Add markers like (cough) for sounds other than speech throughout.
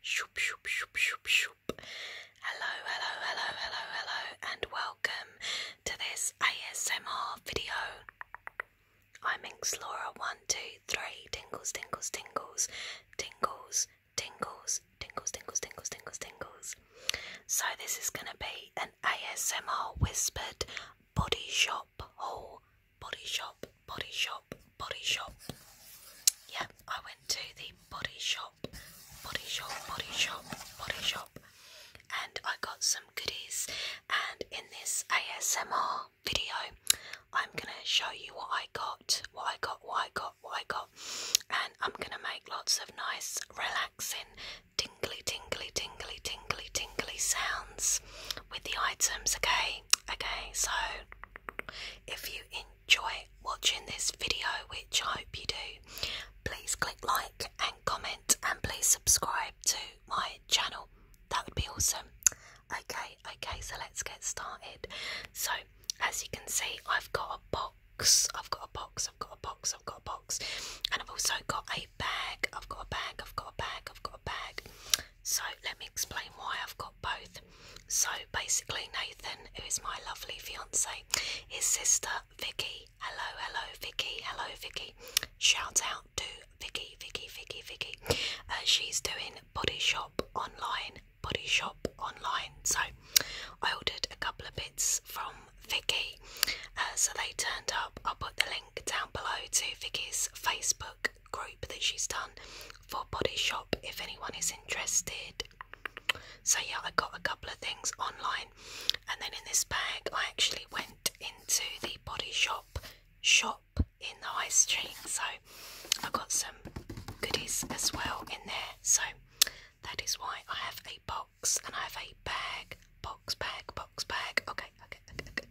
Shoop, shoop, shoop, shoop, shoop. Hello, hello, hello, hello, hello, and welcome to this ASMR video. I'm Inkslora123, tingles, tingles, tingles, tingles, tingles, tingles, tingles, tingles, tingles, tingles. So, this is going to be an ASMR whispered body shop shop oh, body shop, body shop, body shop. Yeah, I went to the body shop, body shop, body shop, body shop, and I got some goodies. And in this ASMR video, I'm gonna show you what I got, what I got, what I got, what I got, and I'm gonna make lots of nice, relaxing, tingly, tingly, tingly, tingly, tingly sounds with the items, okay? Okay, so if you enjoy watching this video, which I hope you do, please click like and comment and please subscribe to my channel. That would be awesome. Okay, okay, so let's get started. So, as you can see, I've got a box, I've got a box, I've got a box, I've got a box, and I've also got a bag, I've got a bag, I've got a bag, I've got a bag. So let me explain why I've got both. So basically, Nathan, who is my lovely fiance, his sister Vicky. Hello, hello, Vicky. Hello, Vicky. Shout out to Vicky, Vicky, Vicky, Vicky. Uh, she's doing body shop online. Body shop online. So I ordered a couple of bits from Vicky. Uh, so they turned up. I'll put the link down below to Vicky's Facebook group that she's done for Body Shop if anyone is interested. So, yeah, I got a couple of things online, and then in this bag, I actually went into the Body Shop shop in the high street, so I got some goodies as well in there. So, that is why I have a box and I have a bag, box, bag, box, bag. okay, okay, okay.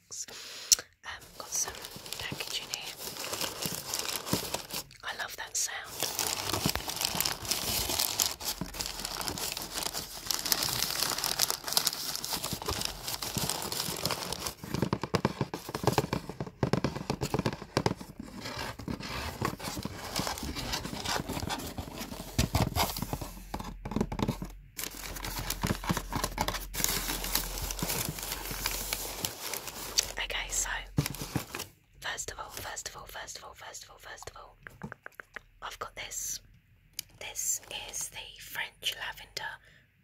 Um, got some packaging here. I love that sound. Okay, so first of all, first of all, first of all, first of all, first of all, I've got this. This is the French Lavender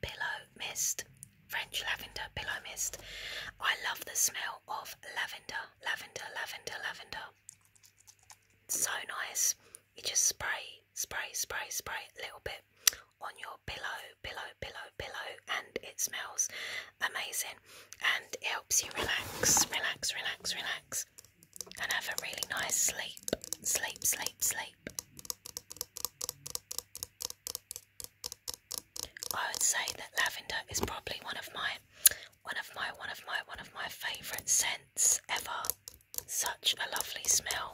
Pillow Mist. French Lavender Pillow Mist. I love the smell of lavender, lavender, lavender, lavender so nice. You just spray, spray, spray, spray a little bit on your pillow, pillow, pillow, pillow, and it smells amazing and it helps you relax, relax, relax, relax, and have a really nice sleep. Sleep, sleep, sleep. I would say that lavender is probably one of my one of my one of my one of my favourite scents ever. Such a lovely smell.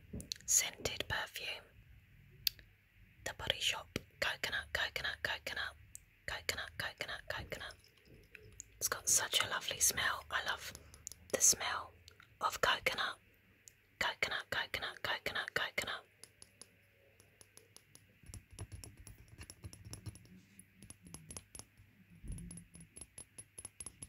scented perfume. The Body Shop coconut, coconut, coconut, coconut, coconut, coconut. It's got such a lovely smell. I love the smell of coconut, coconut, coconut, coconut, coconut.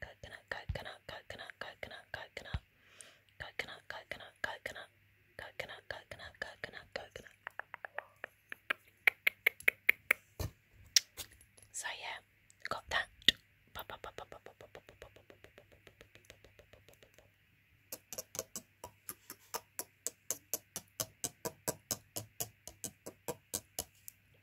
coconut, coconut, coconut, coconut, coconut, coconut, coconut, coconut, coconut, coconut, coconut, coconut. So yeah, got that.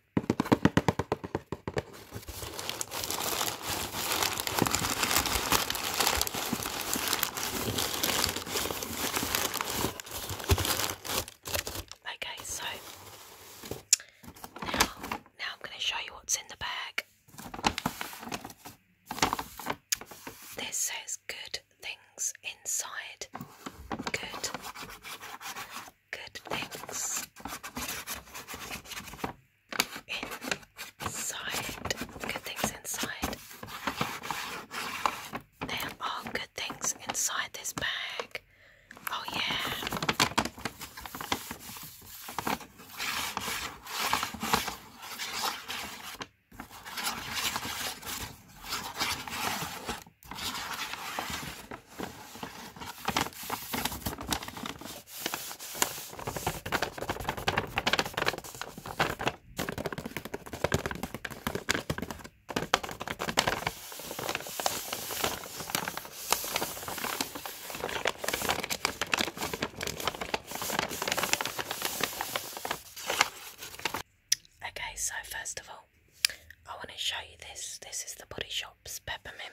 Okay, so now, now I'm going to show you what's in the bag. This says good things inside. Good good things inside. Good things inside. There are good things inside this bag. Oh, yeah. Okay, so first of all, I want to show you this. This is the Body Shop's peppermint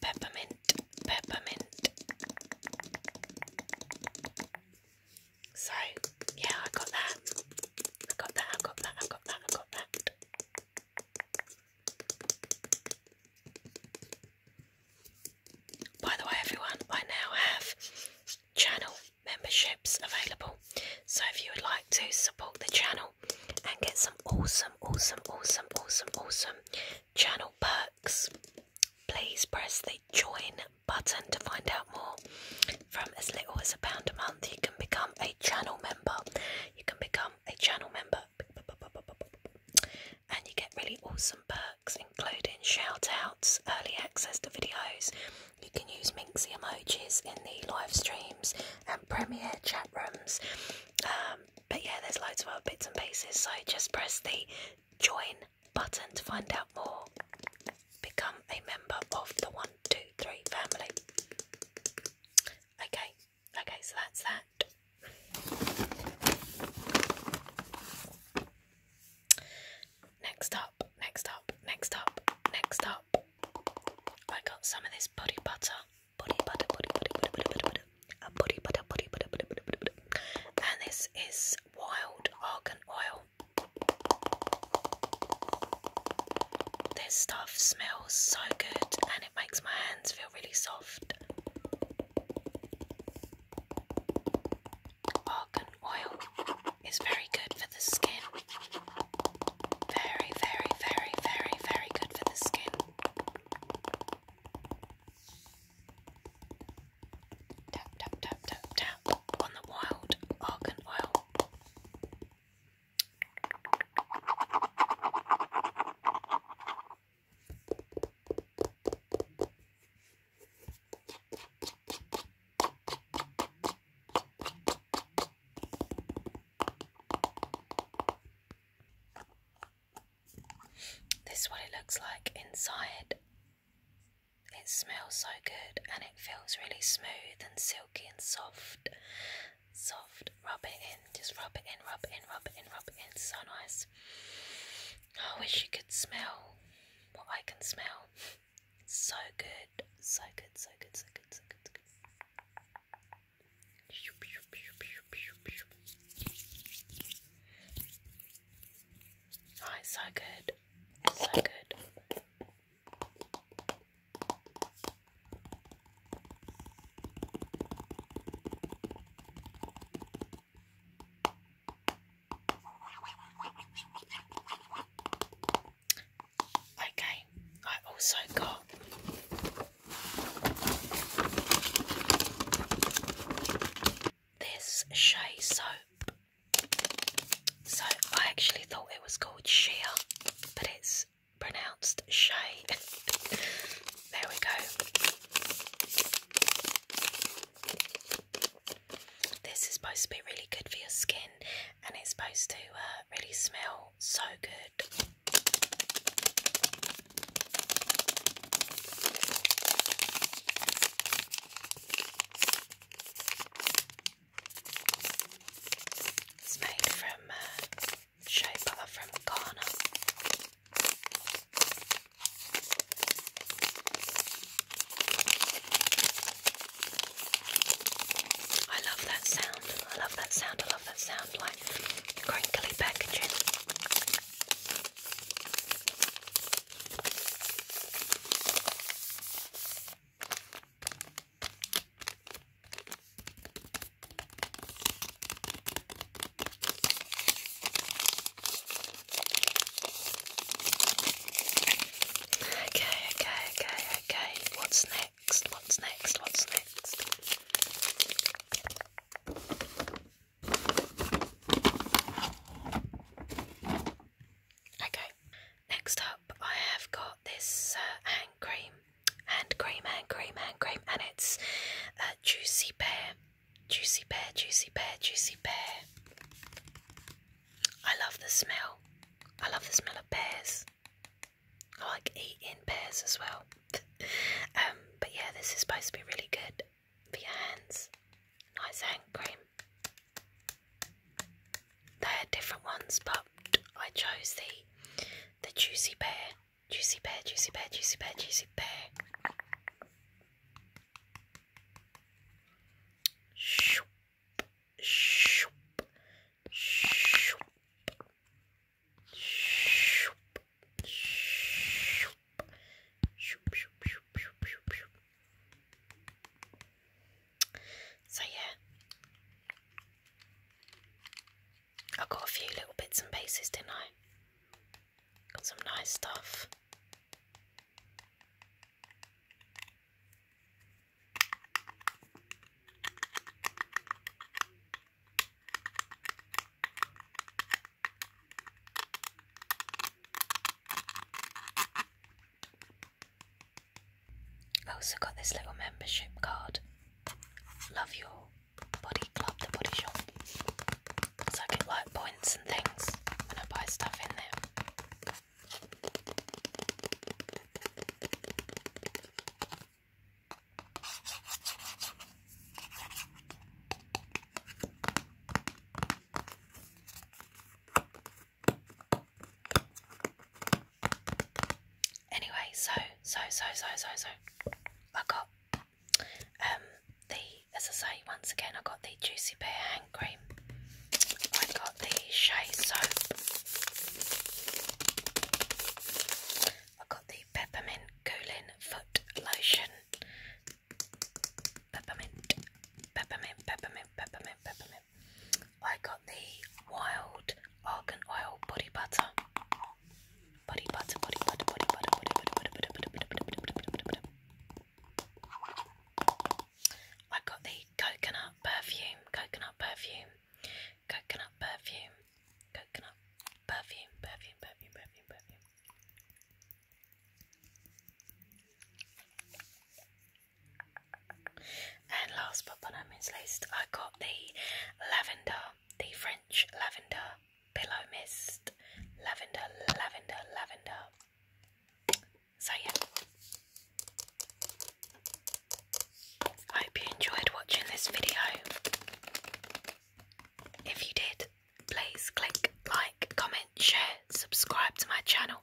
peppermint, peppermint. So, yeah, I got that. I got that, I got that, I got that, I got that. By the way, everyone, I now have channel memberships available. So, if you would like to support the channel, and get some awesome, awesome, awesome, awesome, awesome channel perks, please press the join button to find out more. From as little as a pound a month, you can become a channel member. You can become a channel member. And you get really awesome perks, including shout outs, early access to videos. You can use Minxie emojis in the live streams and premiere chat rooms. Um, but yeah, there's loads of other bits and pieces, so just press the join button to find out more. Become a member of the 123 family. Okay, okay, so that's that. Next up, next up, next up, next up. I got some of this body butter body butter, body butter, butter, butter, butter, butter, body butter, body butter. And this is wild argan oil. This stuff smells so good and it makes my hands feel really soft. Argan oil is very good for the skin. Very, very, very, very, very good for the skin. Tap, tap, tap, tap, tap on the wild argan oil. This is what it looks like inside. It smells so good and it feels really smooth and silky and soft. Soft. Rub it in. Just rub it in, rub it in, rub it in, rub it in. It's so nice. I wish you could smell what I can smell. So good. So good, so good, so good, so good, so good. Oh, so good. so good. Okay, I also got this Shea soap. So I actually thought it was called Shea, but it's pronounced Shea. (laughs) there we go. This is supposed to be really good for your skin and it's supposed to uh, really smell so good. It's made from uh, from Ghana. I love that sound. I love that sound. I love that sound. Crinkly packaging. Okay, okay, okay, okay. What's next? next? What's next? What's next? Okay, next up I have got this uh, hand cream, hand cream, hand cream, hand cream, and it's a Juicy Pear, Juicy Pear, Juicy Pear, Juicy Pear. I love the smell. I love the smell of pears. I like eating pairs as well. (laughs) Um, but yeah, this is supposed to be really good for your hands. Nice hand cream. They had different ones, but I chose the the juicy bear, juicy bear, juicy bear, juicy bear, juicy bear. Shoop, shoop, shoop. So, yeah, I got a few little bits and pieces, didn't I? Got some nice stuff. I also got this little membership card. Love your body club, the body shop. So I get like points and things when I buy stuff in there. Anyway, so so so so so so I got um the as I say once again I got the juicy pear hand cream. I got the shea soap. I got the peppermint cooling foot lotion. Peppermint, peppermint, peppermint, peppermint, peppermint. I got the wild argan oil body butter. Body butter, body butter, body butter, body butter, body butter, body butter, body butter, body butter, body butter. I got the coconut perfume, coconut perfume, coconut perfume coconut perfume, perfume, perfume, perfume, perfume. And last but not least, I got the lavender, the French lavender pillow mist, lavender, lavender, lavender. So yeah. I hope you enjoyed watching this video. If you did, please click like, comment, share, subscribe to my channel.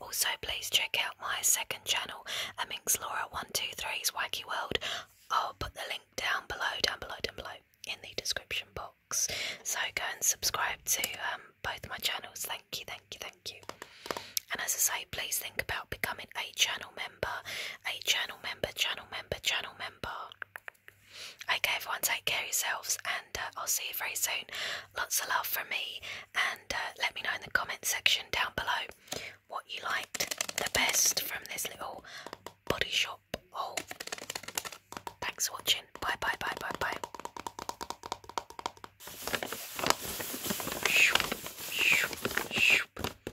Also, please check out my second channel, Amix Laura 123's Wacky World. I'll put the link down below, down below, down below in the description box. So go and subscribe to um, both my channels. Thank you, thank you, thank you. And as I say, please think about becoming a channel member, a channel member, channel member, channel member remember. Okay, everyone, take care of yourselves, and uh, I'll see you very soon. Lots of love from me, and uh, let me know in the comment section down below what you liked the best from this little body shop haul. Oh, thanks for watching. Bye, bye, bye, bye, bye. Shoop, shoop, shoop.